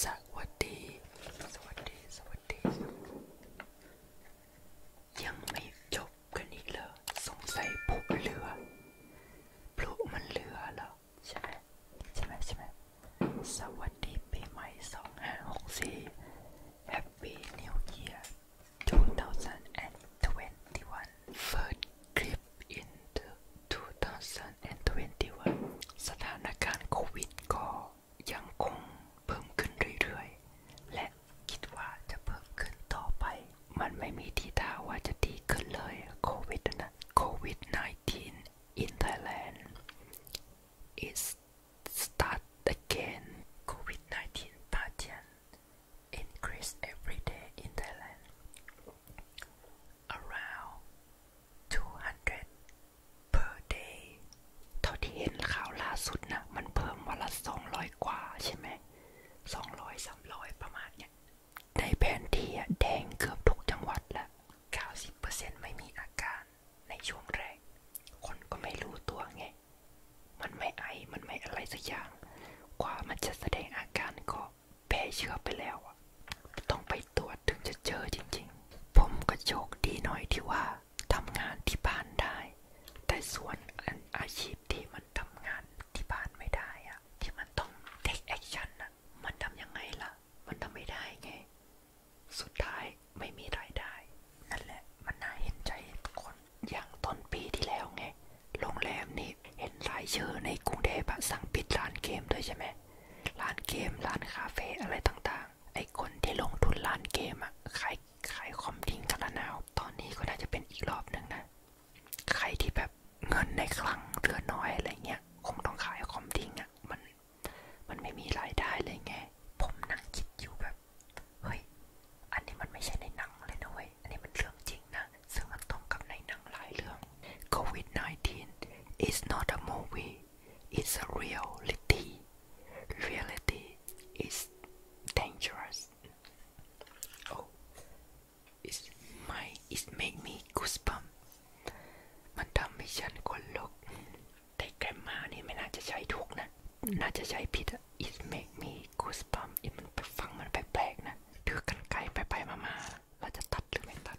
สวัสดีสวัสดีสวัสดี ยังไม่จบกันอีกเหรอสงสัยพลุเรือพลุมันเรือเหรอใช่ไหมใช่ไหมใช่ไหมสวัสดีปีใหม่สองห้าหกสี่ Happy New Year 2021 First clip in the 2021สถานการณ์โควิดก็ยังคงเพิ่มขึ้นเรื่อยๆ และคิดว่าจะเพิ่มขึ้นต่อไป มันไม่มีทีท่าว่าจะดีขึ้นเลยโควิดนะโควิด 19 in Thailand is start again COVID 19 patient increase every day in Thailand เท่าที่เห็นข่าวล่าสุดนะมันเพิ่มวันละ 200 กว่าใช่ไหม200 300 ประมาณนี้ในแผนที่แดงเกือบทุกจังหวัดละ90%ไม่มีอาการ ในช่วงแรก คนก็ไม่รู้ตัวไง มันไม่ไอ มันไม่อะไรสักอย่าง กวมันจะแสดงอาการก็แพรเชื้อไปแล้วอะต้องไปตรวจถึงจะเจอจริงๆ ผมก็โชคดีหน่อยที่ว่าทำงานที่บ้านได้ แต่ส่วนอาชีพที่มันทำงานที่บ้านไม่ได้อะ ที่มันต้อง take action นะมันทำยังไงละ มันทำไม่ได้ไง สุดท้ายไม่มีรายได้ นั่นแหละมันน่าเห็นใจคนอย่างต้นปีที่แล้วไง โรงแรมนี่เห็นรายชื่อในกรุงเทพสั่งปิดร้านเกมด้วยใช่ไหมร้านเกม ร้านคาเฟ่ อะไรต่างๆ ไอ้คนที่ลงทุนร้านเกมอะขายขายคอมทิ้งกันละนาวตอนนี้ก็น่าจะเป็นอีกรอบหนึ่งนะ ใครที่แบบเงินในคลังเรือน้อยอะไรเงี้ย คงต้องขายคอมทิ้งอะมันมันไม่มีรายได้เลยไง ผมนั่งคิดอยู่แบบ เฮ้ย อันนี้มันไม่ใช่ในหนังเลยนะเว้ยอันนี้มันเรื่องจริงนะซึ่งมันตรงกับในหนังหลายเรื่อง COVID-19 is not a movie is a reality. Reality is dangerous. Oh, it's my it made me goosebump. มันทำให้ฉันขนลุกแต่แกรมมานี่ไม่น่าจะใช้ถูกนะน่าจะใช้ผิดอะ it make me goosebump มันไปฟังมันแปลกๆนะ ถือกันไกลไปๆมาๆเราจะตัดหรือไม่ตัด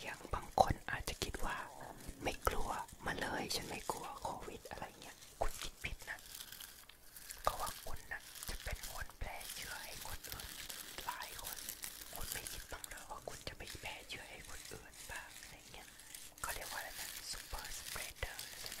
อย่างบางคนอาจจะคิดว่า ไม่กลัวมาเลยฉันไม่กลัวโควิดอะไรเงี้ยคุณคิดผิดนะเพราะว่าคุณนะจะเป็นคนแพร่เชื้อให้คนอื่นหลายคน คุณไม่คิดบ้างเลยว่าคุณจะไปแพร่เชื้อให้คนอื่นบ้างอะไรเงี้ยเขาเรียกว่าอะไรนะซูเปอร์สเปรดเดอร์ใช่ไหม